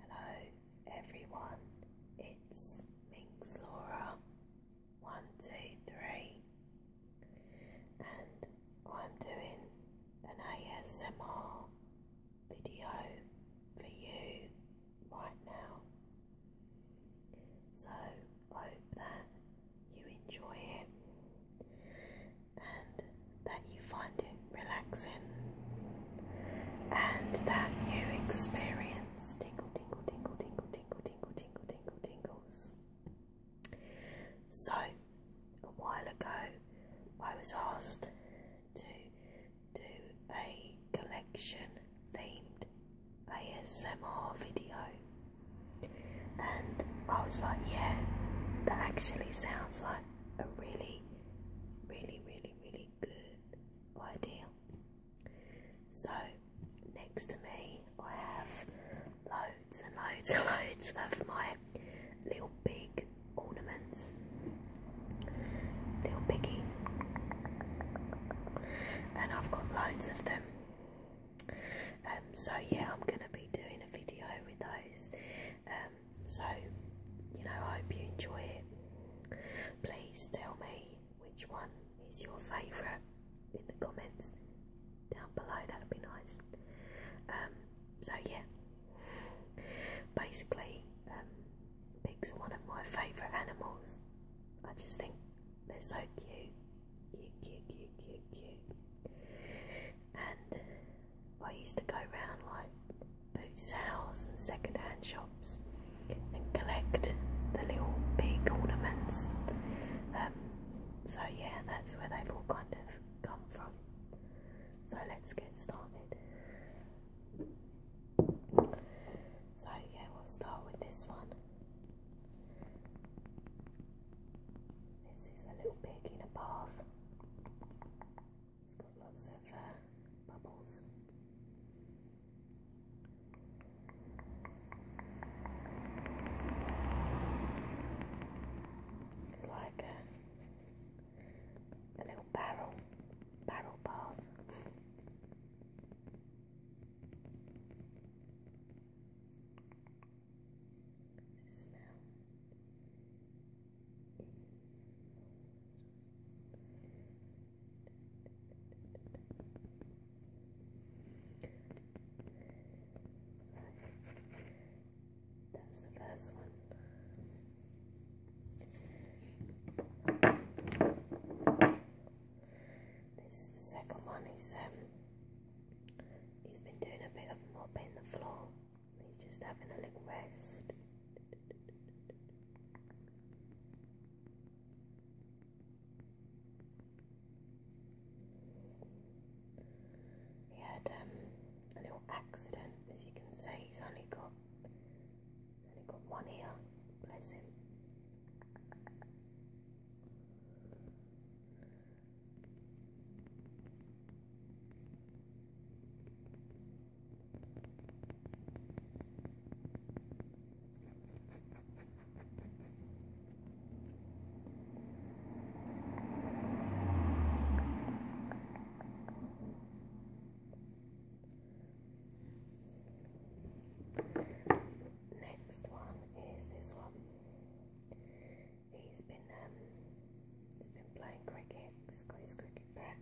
Hello everyone, it's Minx Laura 123 and I'm doing an ASMR video for you right now. So hope that you enjoy it and that you find it relaxing and that you experience tingle, tingle, tingle, tingle, tingle, tingle, tingle, tingle, tingles. So, a while ago, I was asked to do a collection themed ASMR video, and I was like, yeah, that actually sounds like a really really, really, really good idea. So, next to me, I have loads and loads and loads of my little big ornaments. Little piggy. And I've got loads of them. Um, so, yeah, I'm going to be doing a video with those. Um, so, you know, I hope you enjoy it. Please tell me which one is your favourite in the comments down below, that'd be nice. Um, so, yeah, basically, um, pigs are one of my favourite animals. I just think they're so cute. Cute, cute, cute, cute, cute. And I used to go round like boot sales and second hand shops and collect the little pig ornaments. Um, so, yeah, that's where they've all kind of come from. So, let's get started. So, yeah, we'll start with this one. This is a little pig in a bath. It's got lots of uh, bubbles. It's like a little barrel, barrel bath. Just now that was the first one. This is the second one. He's um, he's been doing a bit of mopping the floor. He's just having a little rest. He had um, a little accident, as you can see. He's only got, only got one ear. Bless him. Next one is this one. He's been um, He's been playing cricket, he's got his cricket bat.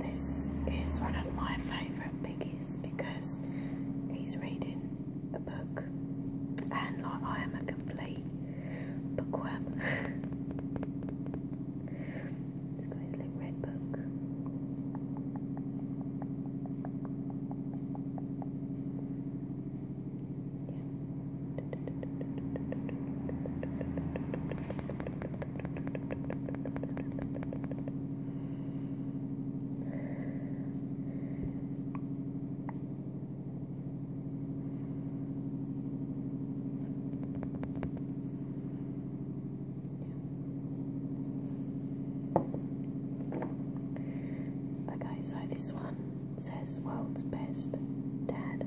This is one of my favourite piggies because he's reading a book and I am a complete Bookworm. He's got red book. Yeah. Okay, so this one says world's best dad.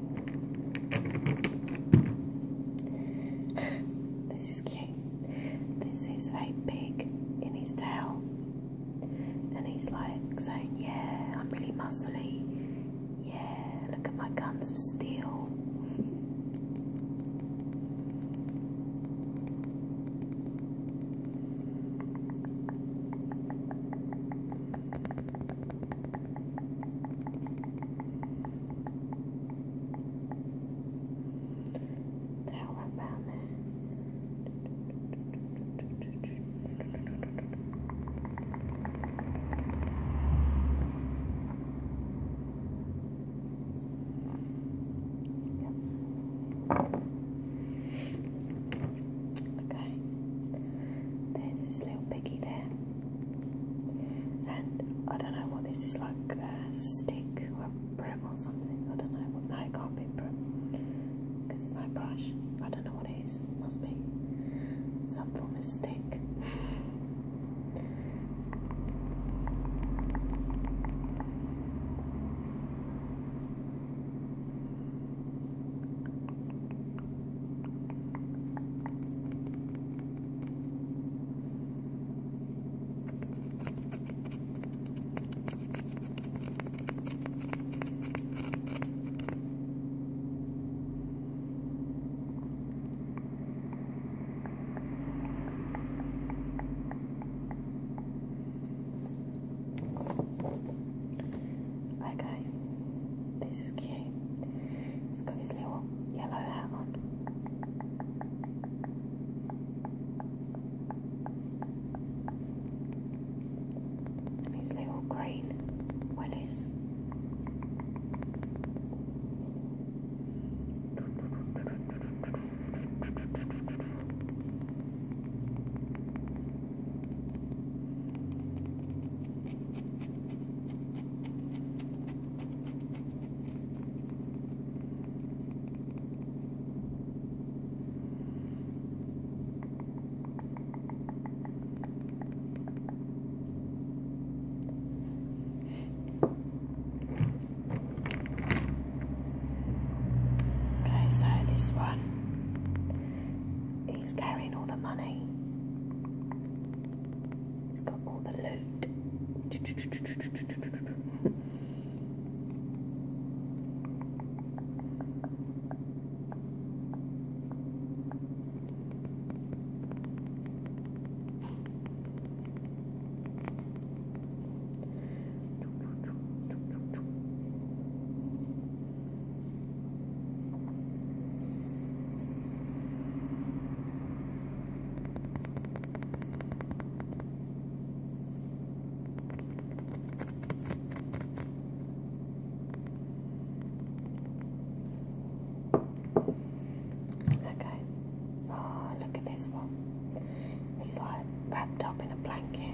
this is cute. This is a pig in his tail, and he's like saying, Yeah, I'm really muscly. Yeah, look at my guns of steel. Tell about it. Okay. There's this little piggy there. And I don't know what this is like a stick or brim or something. I don't know what. No, it can't be brim because it's no brush. I don't know what it is. It must be some form of stick. Okay, this is cute okay. He's got his little yellow hat on. And his little green wellies. Okay, so this one is carrying all the money. It's got all the loot. Okay. Oh, look at this one. He's like wrapped up in a blanket.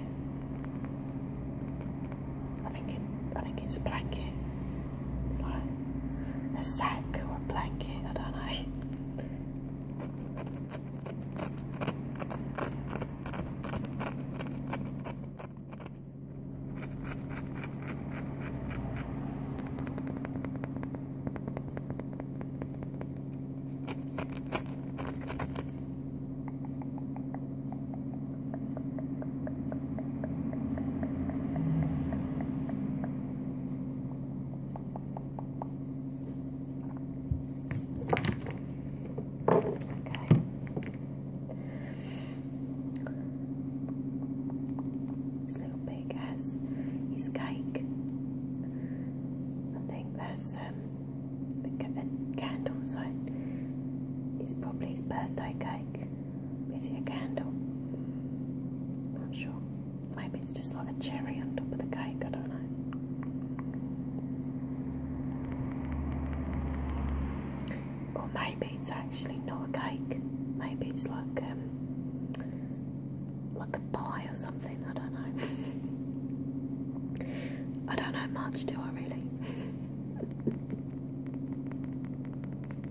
I think it, I think it's a blanket. It's like a sack or a blanket, I don't know. This little pig has his cake. I think that's um, the uh, candles. So it's probably his birthday cake. Is it a candle? Not sure. Maybe it's just like a cherry on top of the cake, I don't know. Or maybe it's actually not a cake. Maybe it's like um like a pie or something, I don't know. I don't know much, do I really?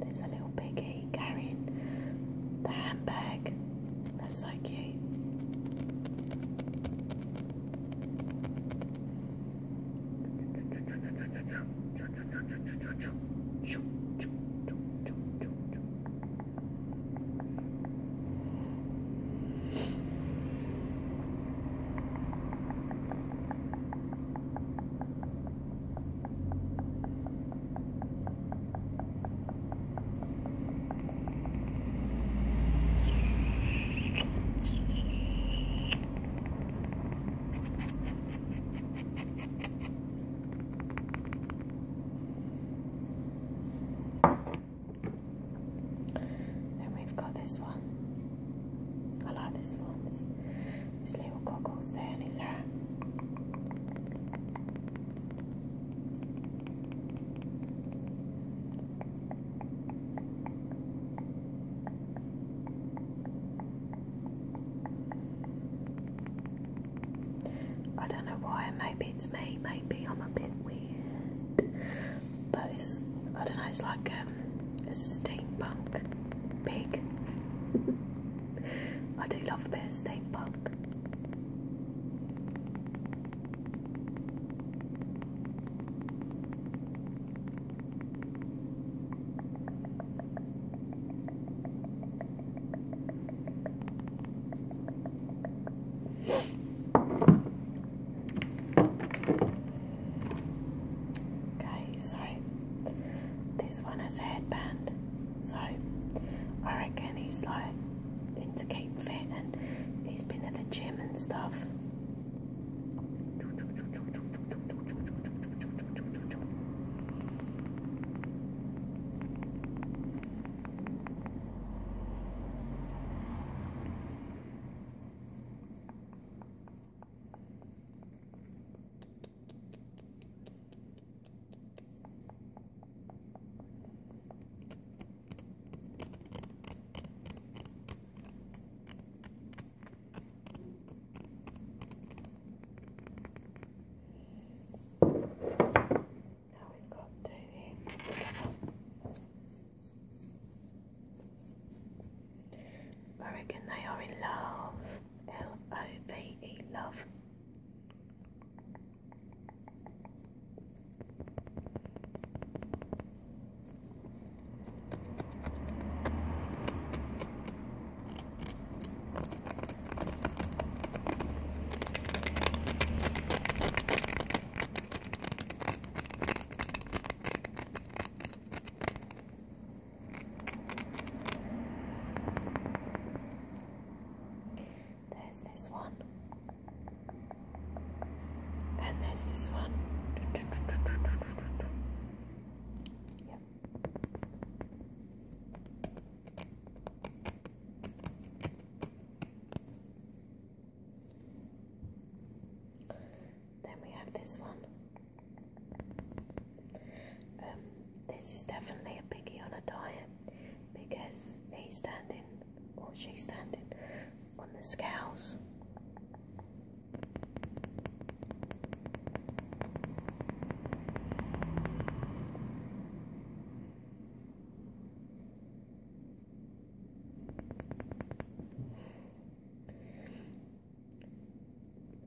There's a little piggy carrying the handbag. That's so cute. And we've got this one. I like this one his little goggles there in his hat. I don't know why, maybe it's me, maybe I'm a bit weird, but it's, I don't know, it's like um, a steampunk pig. I do love a bit of steampunk. Okay, so this one as a headband. So I reckon he's like into keeping fit and he's been at the gym and stuff. Now we've got Davy. I reckon they are in love. L O V E love. There's this one, and there's this one. Yep. Then we have this one. Um, this is definitely a piggy on a diet because he's standing or she's standing on the scales.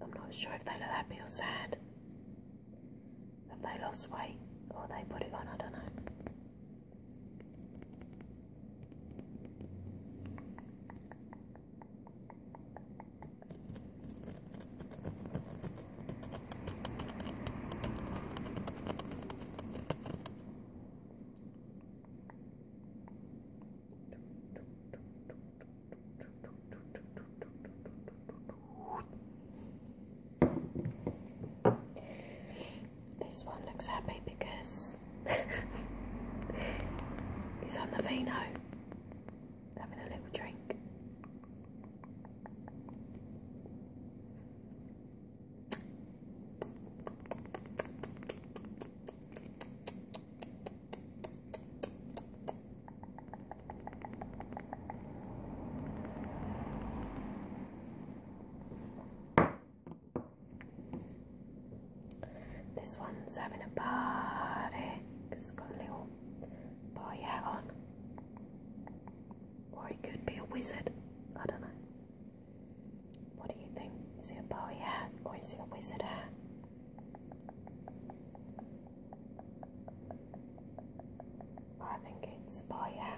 I'm not sure if they look happy or sad. Have they lost weight or they put it on? I don't know. This one looks happy because he's on the vino having a little drink. This one's having a party. It's got a little boy hat on. Or he could be a wizard. I don't know. What do you think? Is it a boy hat or is it a wizard hat? I think it's by yeah.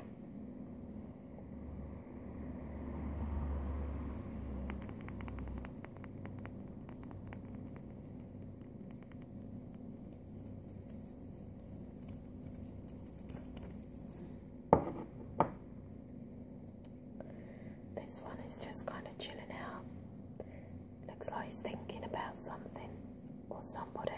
This one is just kind of chilling out. Looks like he's thinking about something or somebody.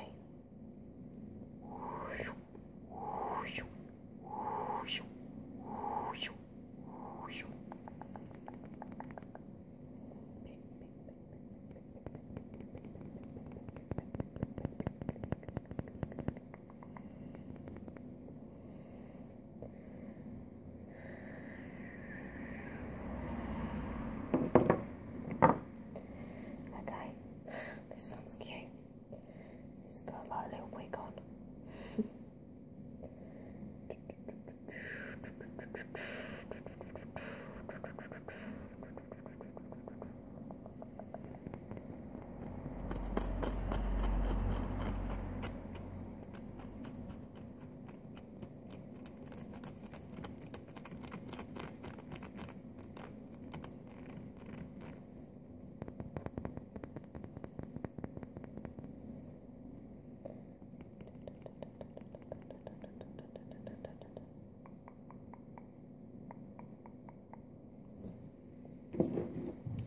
Okay, this one's cute. It's got like a little wig on.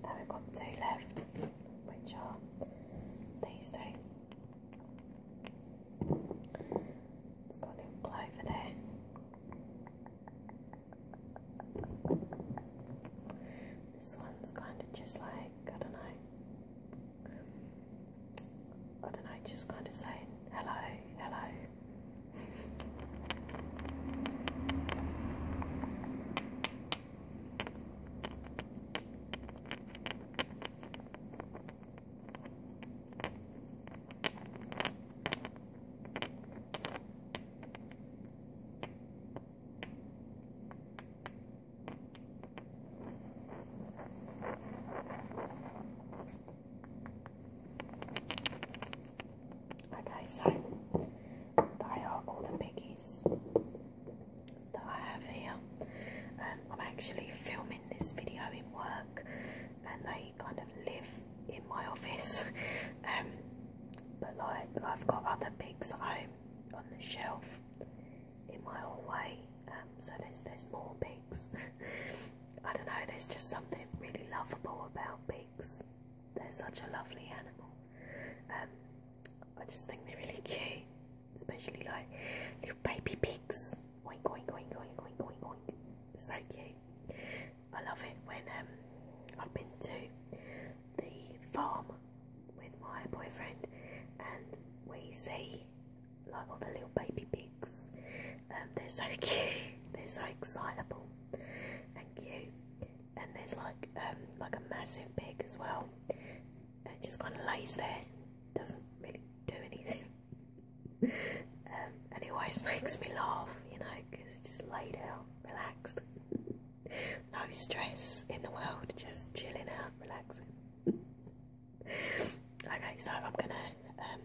Now we've got two left, which are these two. It's got a little clover there. This one's kind of just like, I don't know, I don't know, just kind of saying hello, hello. Okay, so they are all the biggies that I have here. Um, I'm actually filming this video in work and they kind of live in my office. Um, but like I've got other pigs at home on the shelf in my hallway. Um, so there's there's more pigs. I don't know, there's just something really lovable about pigs. They're such a lovely animal. Um, I just think they're really cute especially like little baby pigs. So cute. I love it when um, I've been to the farm with my boyfriend and we see like all the little baby pigs. Um, they're so cute. They're so excitable and cute. And there's like um, like a massive pig as well. And just kind of lays there doesn't really do anything. um, and it always makes me laugh, you know, just laid out, relaxed, no stress in the world, just chilling out, relaxing. okay, so I'm gonna um,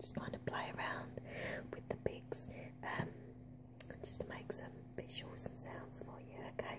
just kind of play around with the pics, um, just to make some visuals and sounds for you, okay?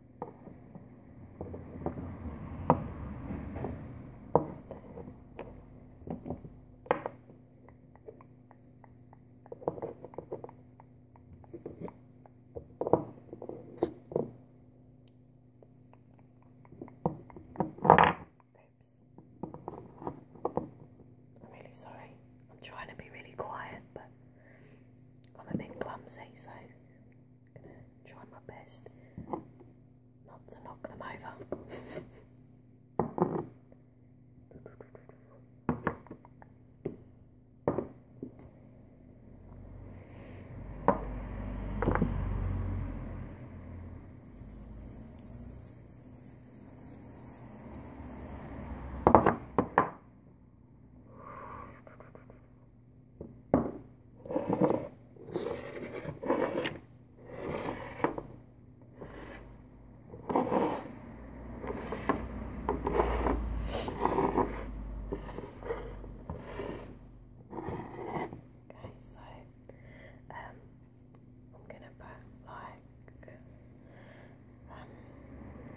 I'm really sorry. I'm trying to be really quiet, but I'm a bit clumsy, so gonna try my best not to knock them over. Okay, so um, I'm gonna put like um,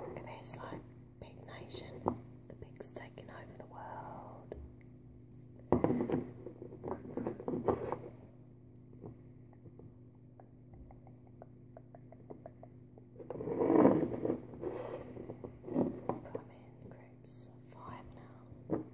And like big nation, the pig's taking over the world. I'm in groups of five now.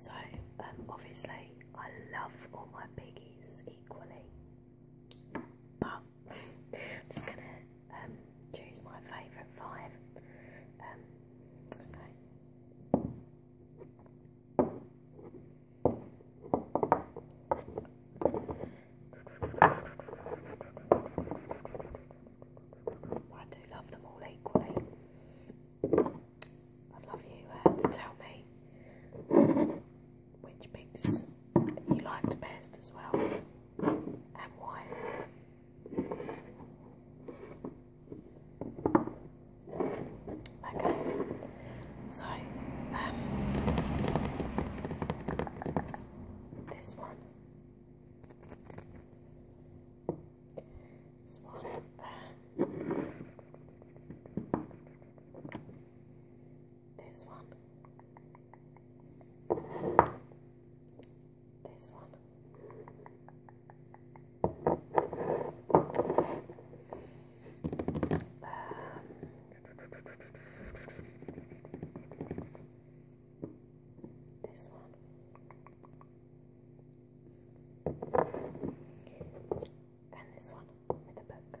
So, um, obviously, I love all my piggies equally, but I'm just gonna um, choose my favourite five. Um, I do love them all equally. I'd love you to tell me which pigs you liked best as well and why. Okay, so um, this one, this one uh, this one, this one. Um, this one. And this one with a book.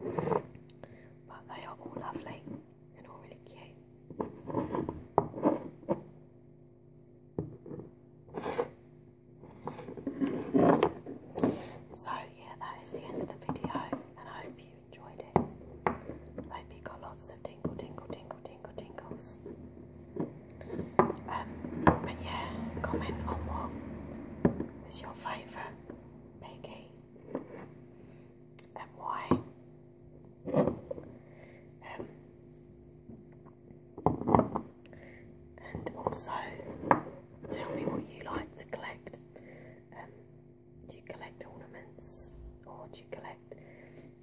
But they are all lovely and all really cute. So, yeah, that is the end of the video, and I hope you enjoyed it. I got lots of tingle, tingle, tingle, tingle, tingles. Um, but yeah, comment on what your favourite Maggie, and also, tell me what you like to collect. Um, do you collect ornaments or do you collect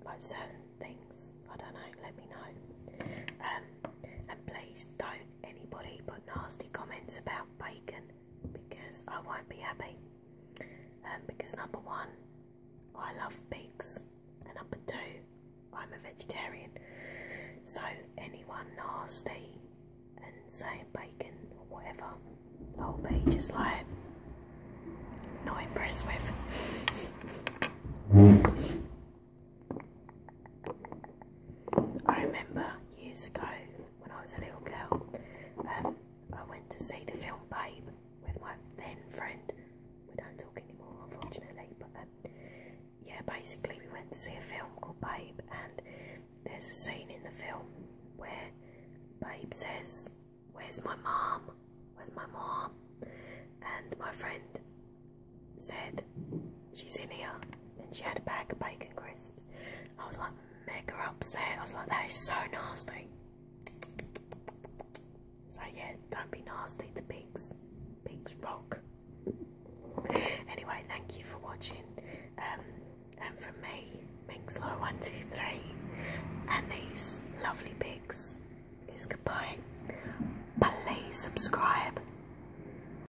like certain things? I don't know, let me know. Um, and please don't anybody put nasty comments about bacon because I won't be happy. Um, because number one, I love pigs, and number two, I'm a vegetarian. So anyone nasty and saying bacon or whatever, I'll be just like not impressed with. I remember years ago when I was a little girl, um, I went to see the film Babe with my then friend. We don't talk anymore, unfortunately, but um, yeah, basically, we went to see a film called Babe, and there's a scene in the film where Babe says, Where's my mom? Where's my mom? And my friend said, She's in here. And she had a bag of bacon crisps. I was like her upset. I was like, That is so nasty. So, yeah, don't be nasty to pigs. Pigs rock. anyway, thank you for watching. Um, and from me, Mingslow123, and these lovely pigs, is goodbye. Please subscribe.